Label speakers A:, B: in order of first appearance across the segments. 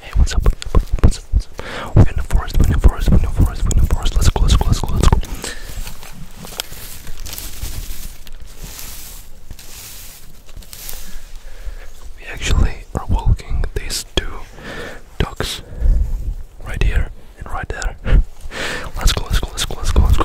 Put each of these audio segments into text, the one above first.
A: Hey, what's up? What's up? What's up? We're in the forest, we're in the forest, we're in the forest, we're in the forest. Let's go, let's go, let's go, let's go. We actually are walking these two ducks right here and right there. Let's go, let's go, let's go, let's go, let's go.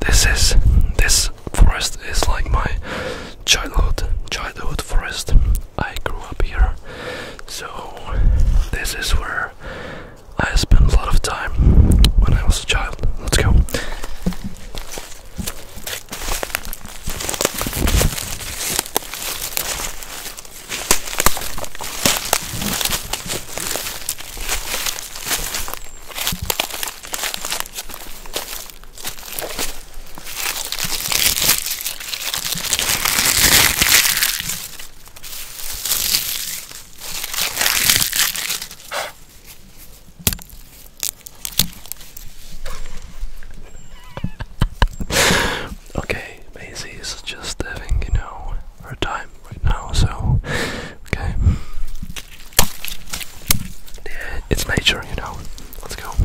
A: This is this forest is like my childhood childhood forest. I grew up here, so this is where I spent a lot of time when I was a child. Let's go okay, Maisie is just having, you know, our time right now, so okay. Yeah, it's nature, you know. Let's go. Let's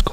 A: go.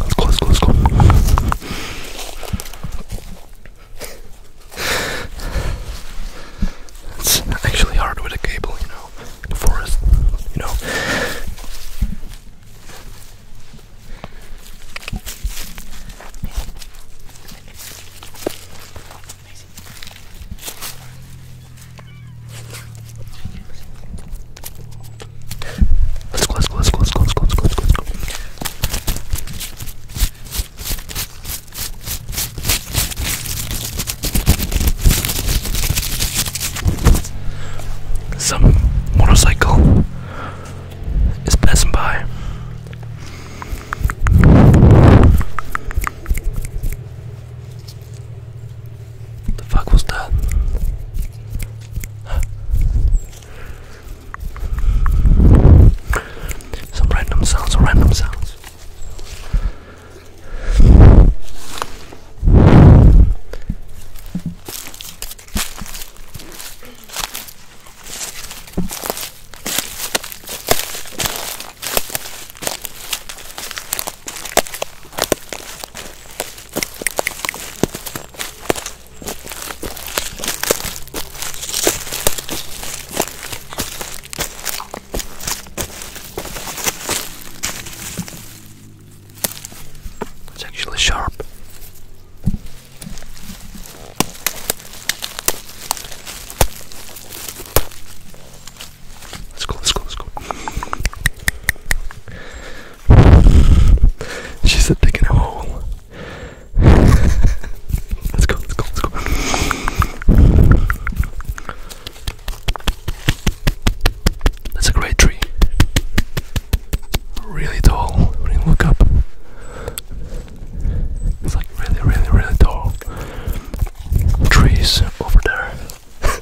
A: Let's go, let's go, let's go. It's actually hard with a cable, you know, the forest, you know. Let's go, let's go, go, go, go, go, go, go. Some motorcycle is passing by. The fuck was that? Some random sounds, random sounds. It's actually sharp. Let's go, let's go, let's go. She said, digging a hole let's go, let's go, let's go. That's a great tree. Really tall. look up. It's like really, really, really tall trees over there.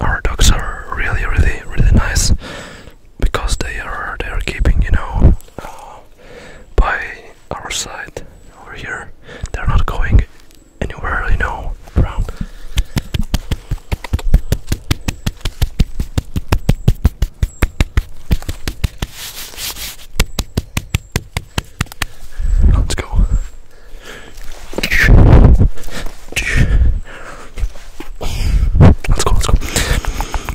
A: Our dogs are really, really, really nice because they are they are keeping you know uh, by our side over here. They're not going anywhere, you know, around. Let's go. Let's go, let's go.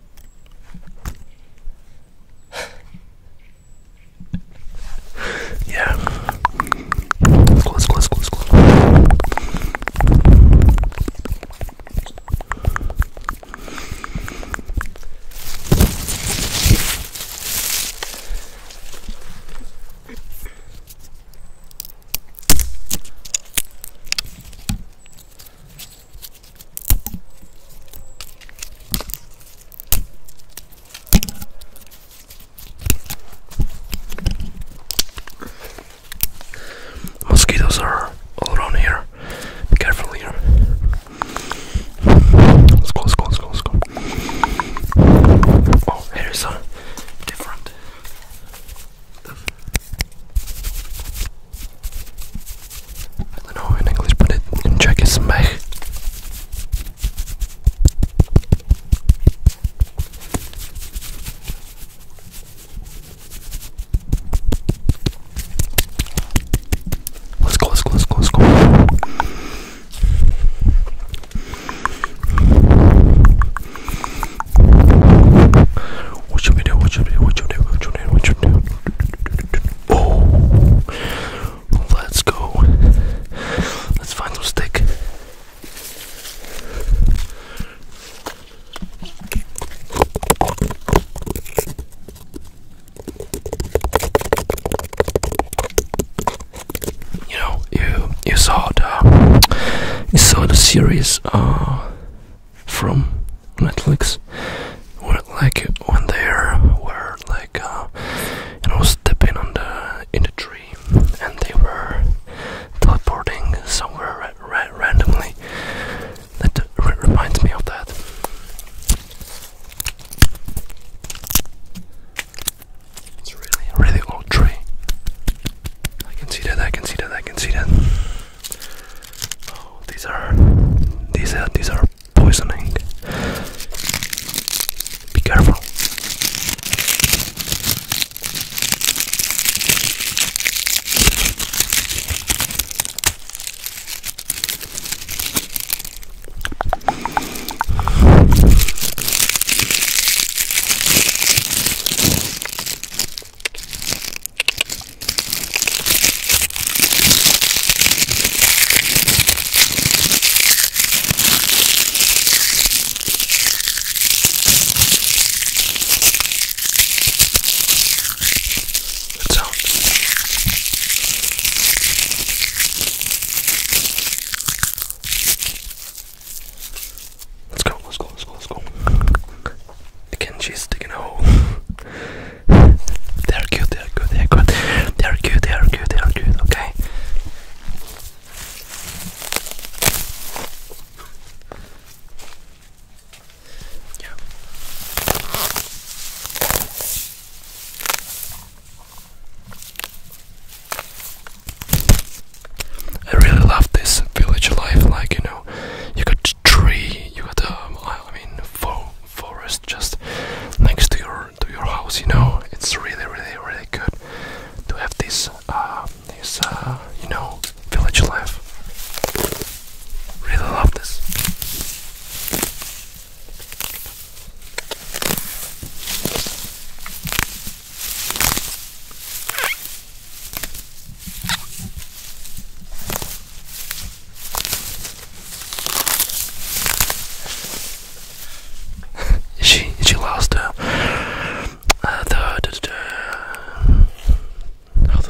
A: yeah. Close, close, close, close. Mosquitoes are all around here. Be careful here. Let's go, let's go, let's go, let's go. Oh, here's a different. I don't know in English, but it, in Czech it's mech. Let's go, let's go, let's go, let's go. What should we What should we What should we What should we What should we Oh, let's go. Let's find some stick. You know, you you saw the you saw the series uh, from Netflix where like when they were like uh, you know stepping on the in the tree and they were teleporting somewhere randomly. That reminds me of that. It's really, really old tree. I can see that. I can see that. I can see that. Oh, these are these these are poisoning. Be careful. Good sound. Let's go, let's go, let's go, let's go. Can Kenji's digging a hole. they're cute, they're good, they're good. They're cute, they're cute, they're cute, okay? Yeah. I really love this village life, like you know, you got a tree, you got um, mean, forest just next to your to your house. You know, it's really, really, really good to have this uh, this uh, you know village life. Really love this. she she lost her. Uh, how the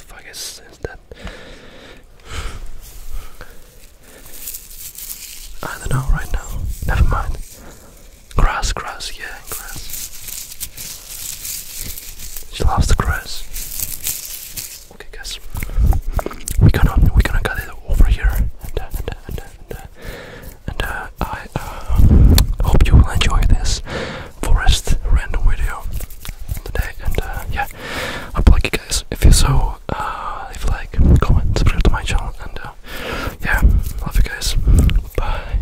A: fuck is that? I don't know right now. Never mind. Grass, grass, yeah, grass. She loves the grass. Okay, guys, we're gonna we're gonna cut it over here, uh, uh, uh, and uh, I uh, hope you will enjoy this forest random video today. And uh, yeah, I would like you guys if you so uh, if you like, comment, subscribe to my channel, and uh, yeah, love you guys. Bye.